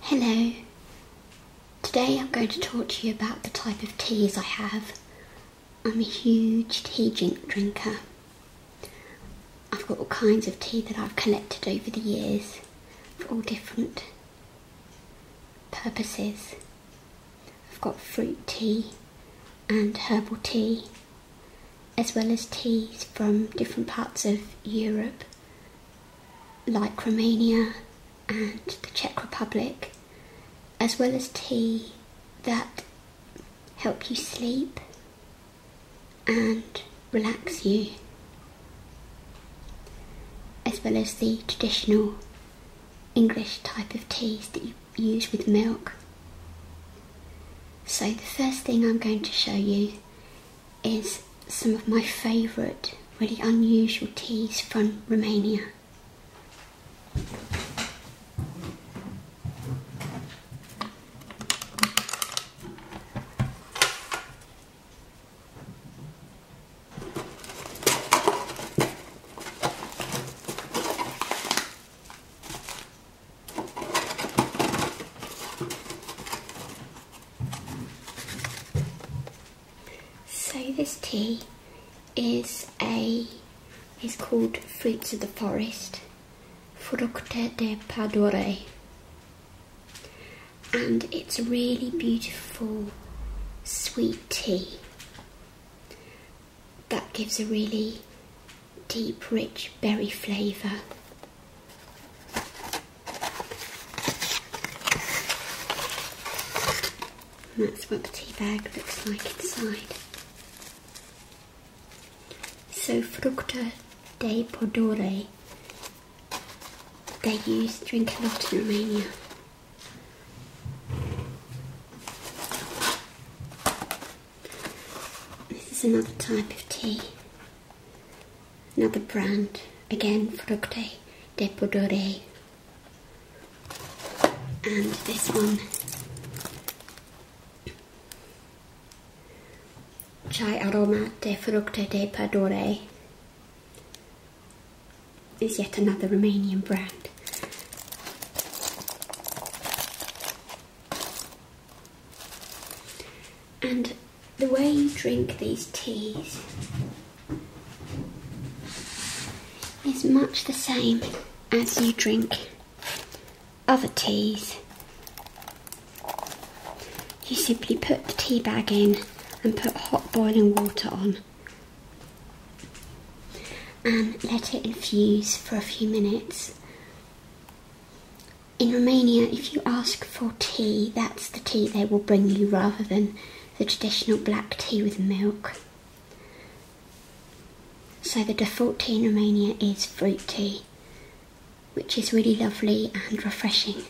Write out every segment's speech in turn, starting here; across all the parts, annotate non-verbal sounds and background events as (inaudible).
Hello. Today I'm going to talk to you about the type of teas I have. I'm a huge tea drinker. I've got all kinds of tea that I've collected over the years for all different purposes. I've got fruit tea and herbal tea as well as teas from different parts of Europe, like Romania and the Czech Republic, as well as tea that help you sleep and relax you, as well as the traditional English type of teas that you use with milk. So the first thing I'm going to show you is some of my favourite, really unusual teas from Romania. So this tea is a is called Fruits of the Forest, Fructe de Padore, and it's really beautiful sweet tea that gives a really deep, rich berry flavour. And that's what the tea bag looks like inside. So fructa de podore they use drink a lot in Romania. This is another type of tea, another brand, again Fructe de Podore. And this one, Chai Aroma de Fructe de Podore, is yet another Romanian brand. And the way you drink these teas is much the same as you drink other teas. You simply put the tea bag in and put hot boiling water on and let it infuse for a few minutes in Romania, if you ask for tea, that's the tea they will bring you rather than the traditional black tea with milk. So the default tea in Romania is fruit tea, which is really lovely and refreshing.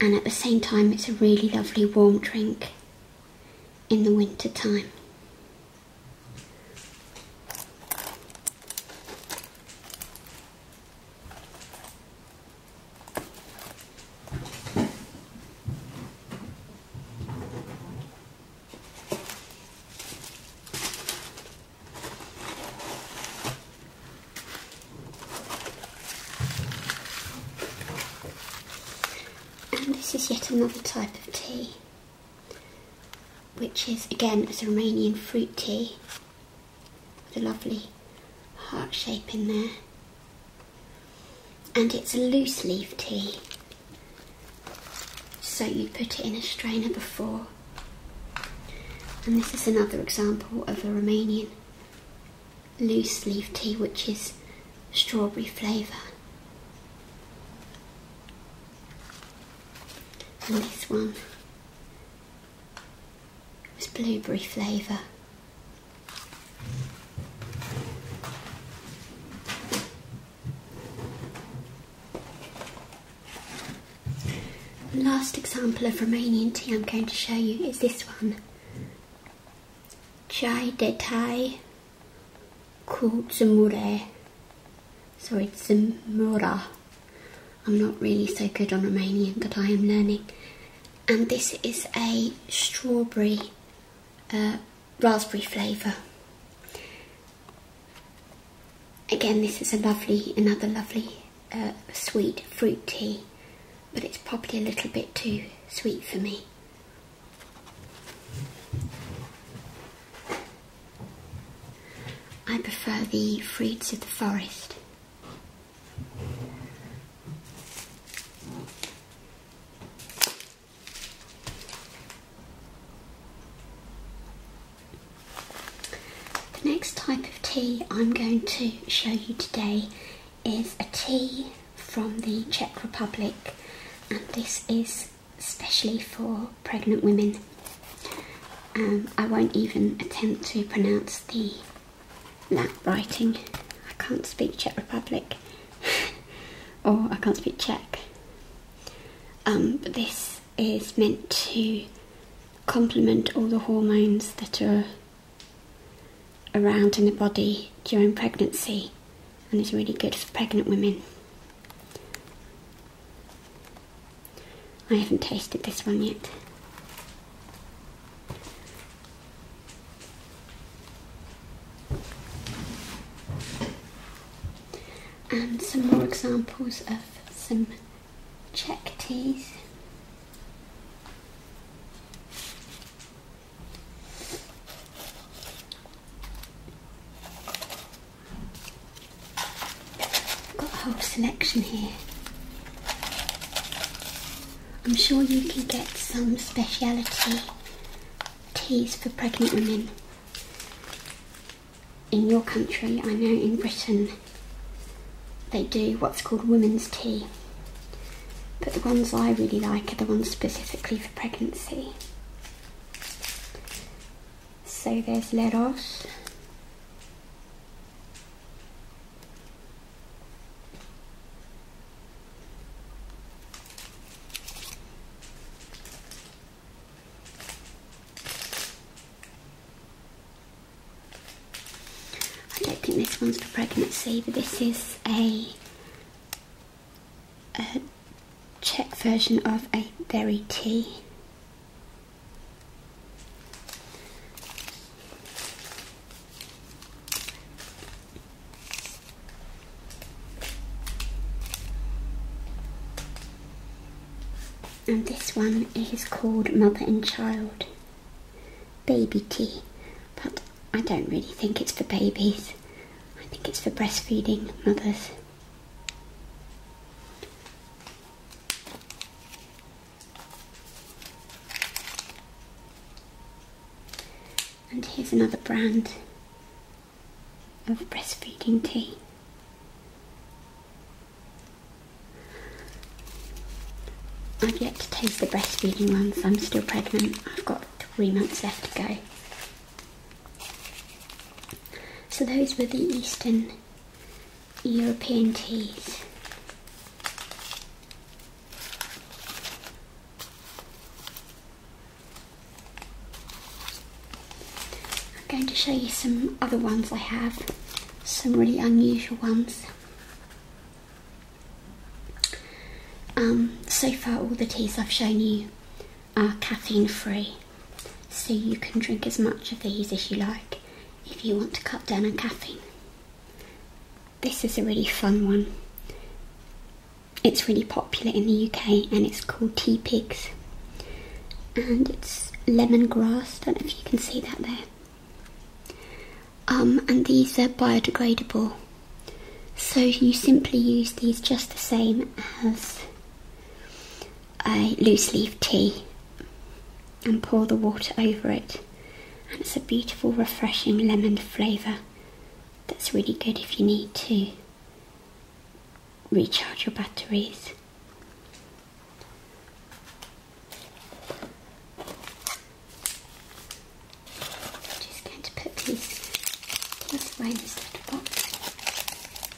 And at the same time, it's a really lovely warm drink in the winter time. And this is yet another type of tea which is again a Romanian fruit tea with a lovely heart shape in there. And it's a loose leaf tea, so you put it in a strainer before. And this is another example of a Romanian loose leaf tea, which is strawberry flavour. And this one was blueberry flavour. last example of Romanian tea I'm going to show you is this one. Chai de Thai called Zamore. Sorry, Zamora. I'm not really so good on Romanian, but I am learning. And this is a strawberry uh, raspberry flavour. Again, this is a lovely, another lovely uh, sweet fruit tea, but it's probably a little bit too sweet for me. I prefer the fruits of the forest. The next type of tea I'm going to show you today is a tea from the Czech Republic, and this is especially for pregnant women. Um, I won't even attempt to pronounce the that writing. I can't speak Czech Republic (laughs) or I can't speak Czech. Um, but this is meant to complement all the hormones that are around in the body during pregnancy and is really good for pregnant women. I haven't tasted this one yet. And some more examples of some Czech teas. Got a whole selection here. I'm sure you can get some speciality teas for pregnant women in your country. I know in Britain they do what's called women's tea, but the ones I really like are the ones specifically for pregnancy so there's letters. I don't think this one's for pregnancy but this is a Czech version of a very tea. And this one is called Mother and Child Baby Tea, but I don't really think it's for babies. I think it's for breastfeeding mothers. And here's another brand of breastfeeding tea. I've yet to taste the breastfeeding ones, I'm still pregnant. I've got three months left to go. So those were the Eastern European teas. I'm going to show you some other ones I have, some really unusual ones. Um, so far all the teas I've shown you are caffeine free, so you can drink as much of these as you like if you want to cut down on caffeine. This is a really fun one. It's really popular in the UK and it's called Tea Pigs. And it's lemongrass, don't know if you can see that there. Um, and these are biodegradable. So you simply use these just the same as a loose leaf tea and pour the water over it. And it's a beautiful, refreshing lemon flavour that's really good if you need to recharge your batteries. just going to put these, these this little box.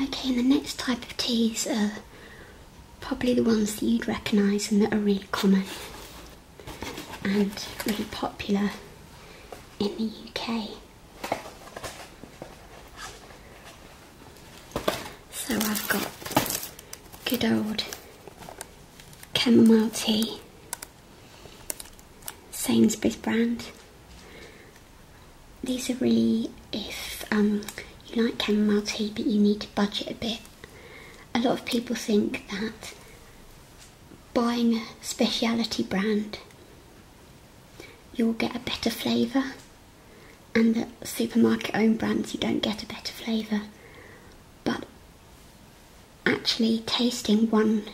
Okay, and the next type of teas are probably the ones that you'd recognise and that are really common and really popular in the UK. So I've got good old chamomile tea, Sainsbury's brand. These are really if um, you like chamomile tea but you need to budget a bit. A lot of people think that buying a specialty brand you'll get a better flavour and the supermarket owned brands you don't get a better flavour. But actually tasting one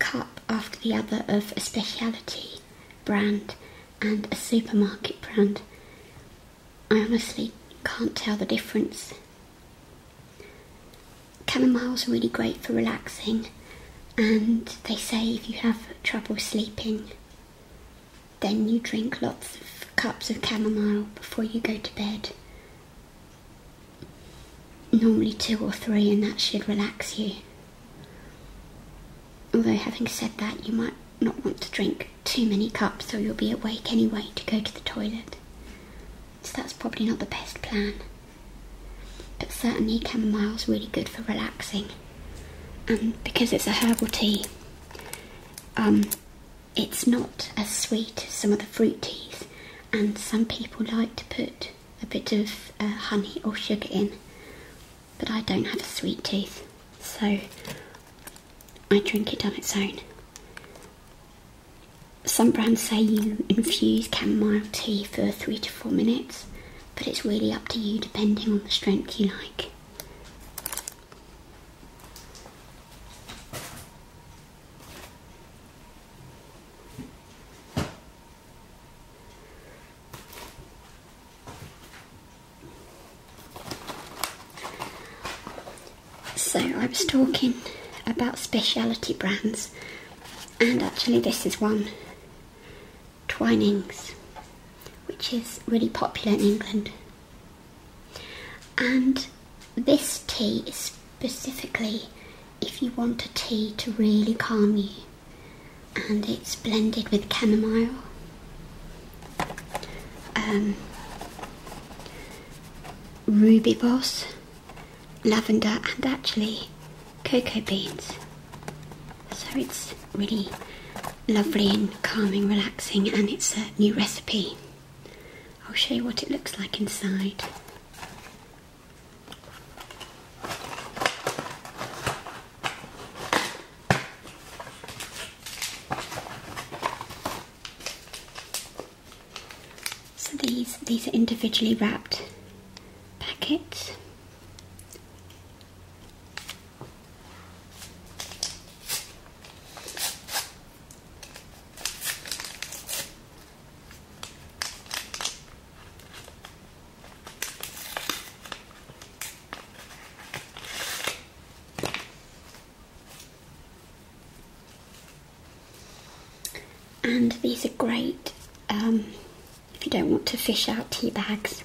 cup after the other of a speciality brand and a supermarket brand, I honestly can't tell the difference. Chamomile's really great for relaxing and they say if you have trouble sleeping then you drink lots of cups of chamomile before you go to bed. Normally two or three, and that should relax you. Although, having said that, you might not want to drink too many cups, so you'll be awake anyway to go to the toilet. So, that's probably not the best plan. But certainly, is really good for relaxing and um, because it's a herbal tea, um, it's not as sweet as some of the fruit teas, and some people like to put a bit of uh, honey or sugar in, but I don't have a sweet tooth, so I drink it on its own. Some brands say you infuse chamomile tea for three to four minutes, but it's really up to you depending on the strength you like. So I was talking about specialty brands and actually this is one Twinings, which is really popular in England. And this tea is specifically if you want a tea to really calm you, and it's blended with chamomile. Um, ruby boss, lavender, and actually cocoa beans. So it's really lovely and calming, relaxing, and it's a new recipe. I'll show you what it looks like inside. So these these are individually wrapped packets. And these are great um, if you don't want to fish out tea bags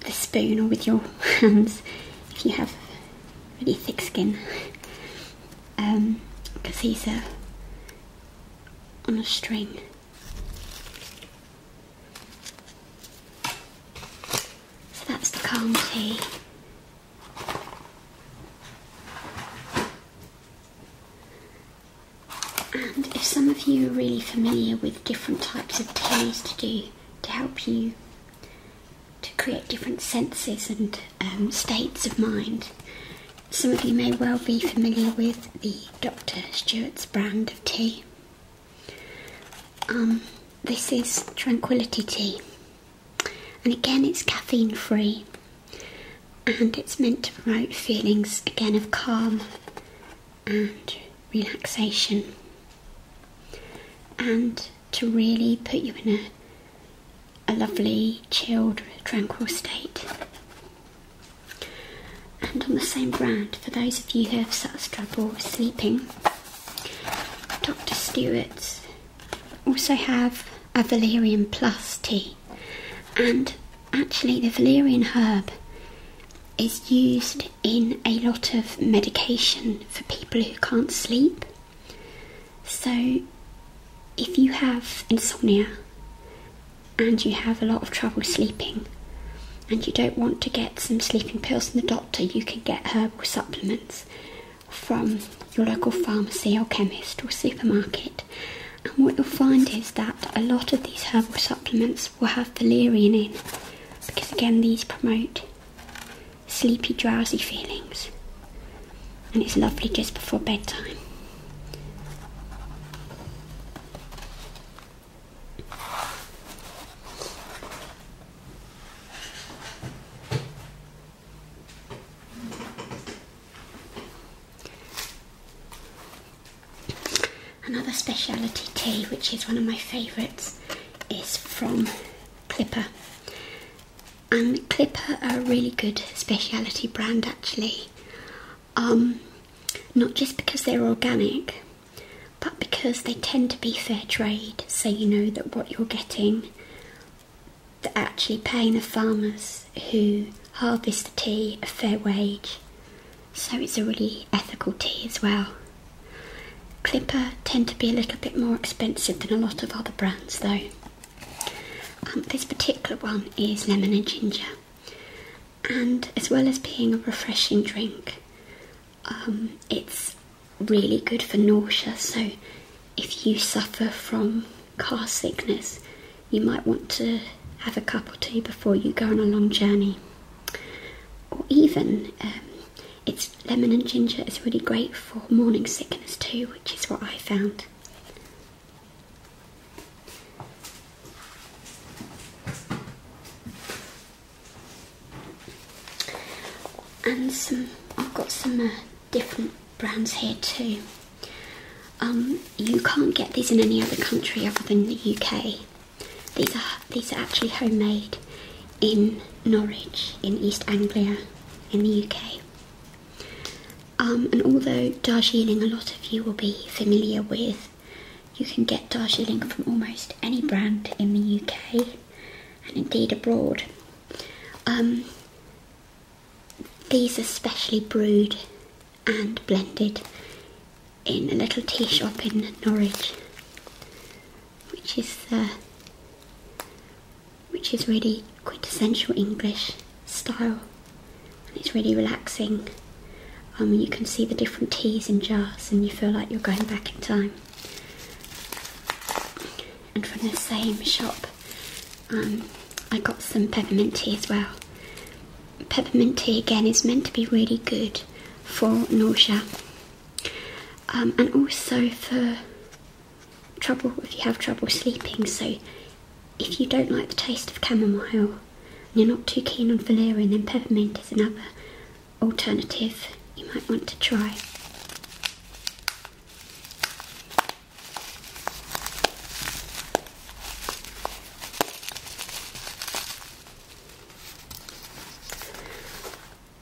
the spoon or with your (laughs) hands, if you have really thick skin, because um, these are on a string. So that's the calm tea. And if some of you are really familiar with different types of teas to do to help you to create different senses and um, states of mind. Some of you may well be familiar with the Dr. Stewart's brand of tea. Um, this is Tranquility Tea, and again, it's caffeine free and it's meant to promote feelings again of calm and relaxation and to really put you in a, a lovely, chilled, tranquil state. And on the same brand, for those of you who have such trouble sleeping, Dr. Stewart's also have a valerian plus tea. And actually, the valerian herb is used in a lot of medication for people who can't sleep. So, if you have insomnia and you have a lot of trouble sleeping and you don't want to get some sleeping pills from the doctor, you can get herbal supplements from your local pharmacy or chemist or supermarket. And what you'll find is that a lot of these herbal supplements we will have valerian in because again these promote sleepy drowsy feelings and it's lovely just before bedtime Another specialty tea, which is one of my favourites, is from Clipper. And Clipper are a really good specialty brand actually. Um, not just because they're organic, but because they tend to be fair trade, so you know that what you're getting, they're actually paying the farmers who harvest the tea a fair wage so it's a really ethical tea as well. Clipper tend to be a little bit more expensive than a lot of other brands though. Um, this particular one is lemon and ginger, and as well as being a refreshing drink, um, it's really good for nausea. So, if you suffer from car sickness, you might want to have a cup or two before you go on a long journey or even um, it's lemon and ginger is really great for morning sickness too, which is what I found. And some, I've got some uh, different brands here too. Um, you can't get these in any other country other than the UK. These are these are actually homemade in Norwich in East Anglia in the UK. Um, and although Darjeeling, a lot of you will be familiar with, you can get Darjeeling from almost any brand in the UK and indeed abroad. Um, these are specially brewed and blended in a little tea shop in Norwich, which is uh, which is really quintessential English style, and it's really relaxing. Um, you can see the different teas in jars, and you feel like you're going back in time. And from the same shop, um, I got some peppermint tea as well, peppermint tea again is meant to be really good for nausea um, and also for trouble if you have trouble sleeping. So, if you don't like the taste of chamomile and you're not too keen on valerian, then peppermint is another alternative you might want to try.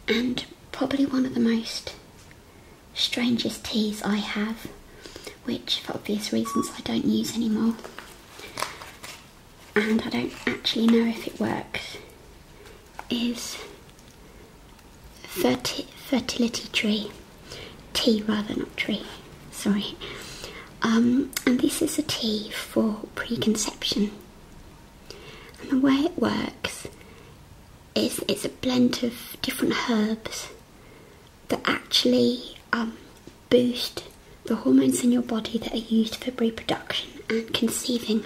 And probably one of the most strangest teas I have, which for obvious reasons I don't use anymore. And I don't actually know if it works, is fertility tree. Tea rather, not tree. Sorry. Um, and this is a tea for preconception. And the way it works is it's a blend of different herbs that actually um, boost the hormones in your body that are used for reproduction and conceiving.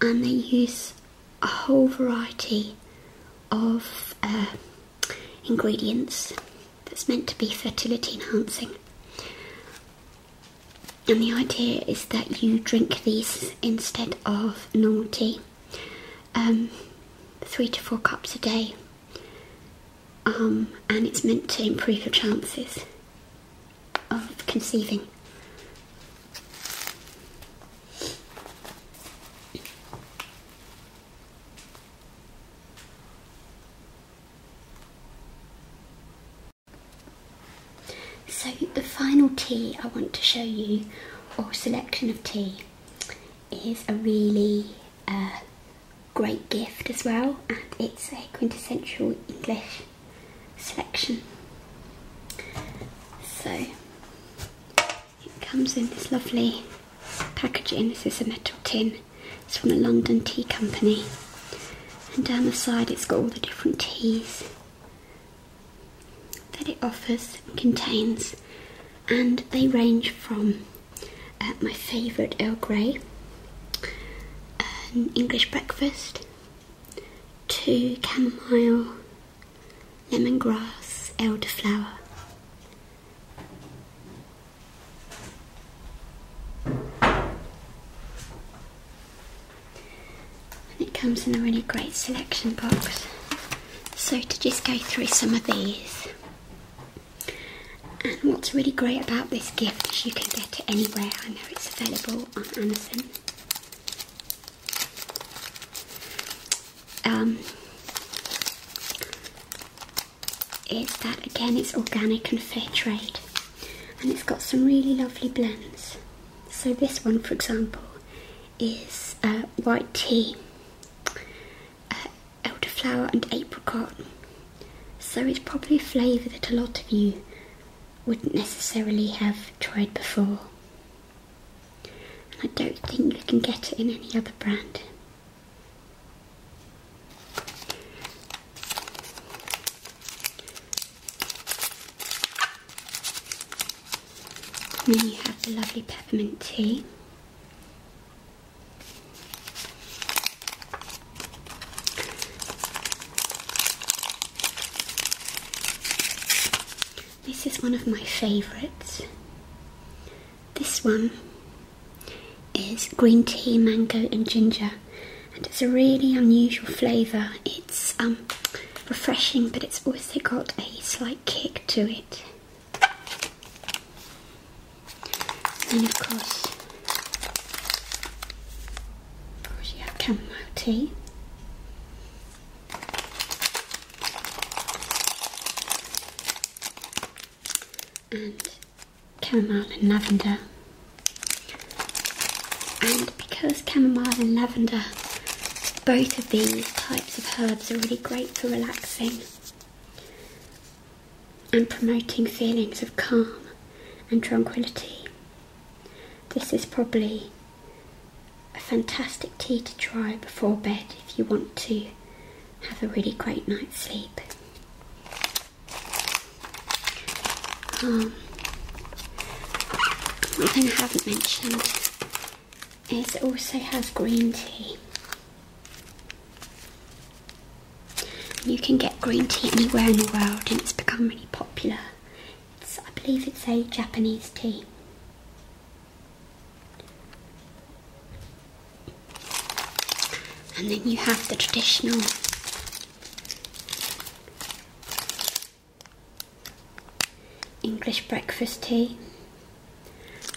And they use a whole variety of uh, ingredients that's meant to be fertility enhancing. And the idea is that you drink these instead of normal tea, um, three to four cups a day, um, and it's meant to improve your chances of conceiving. So the final tea I want to show you, or selection of tea, is a really uh, great gift as well and it's a quintessential English selection. So it comes in this lovely packaging, this is a metal tin it's from a London tea company. And down the side, it's got all the different teas that it offers contains. And they range from uh, my favourite Earl Grey, English breakfast, to chamomile, lemongrass, elderflower, it comes in a really great selection box. So, to just go through some of these. And what's really great about this gift is you can get it anywhere. I know it's available on Amazon. Um, is that again it's organic and fair trade and it's got some really lovely blends. So, this one, for example, is uh, white tea, uh, elderflower, and apricot. So, it's probably a flavour that a lot of you wouldn't necessarily have tried before. And I don't think you can get it in any other brand. And then you have the lovely peppermint tea. This is one of my favourites. This one is green tea, mango, and ginger, and it's a really unusual flavour. It's um, refreshing, but it's also got a slight kick to it. And of course, of course you have chamomile tea and chamomile and lavender. And because chamomile and lavender, both of these types of herbs are really great for relaxing and promoting feelings of calm and tranquility. This is probably a fantastic tea to try before bed if you want to have a really great night's sleep. Um, one thing I haven't mentioned is it also has green tea. You can get green tea anywhere in the world and it's become really popular. I believe it's a Japanese tea. And then you have the traditional English breakfast tea,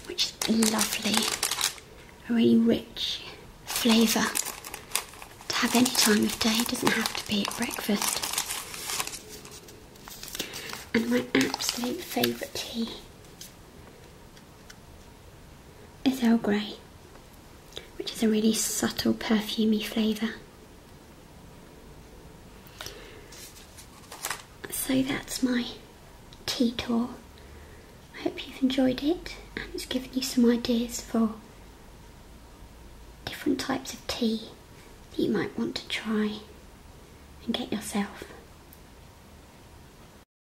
which is lovely, a really rich flavour to have any time of day, it doesn't have to be at breakfast. And my absolute favourite tea is Earl Grey, which is a really subtle perfumy flavour. So that's my tea tour. I hope you've enjoyed it and it's given you some ideas for different types of tea that you might want to try and get yourself.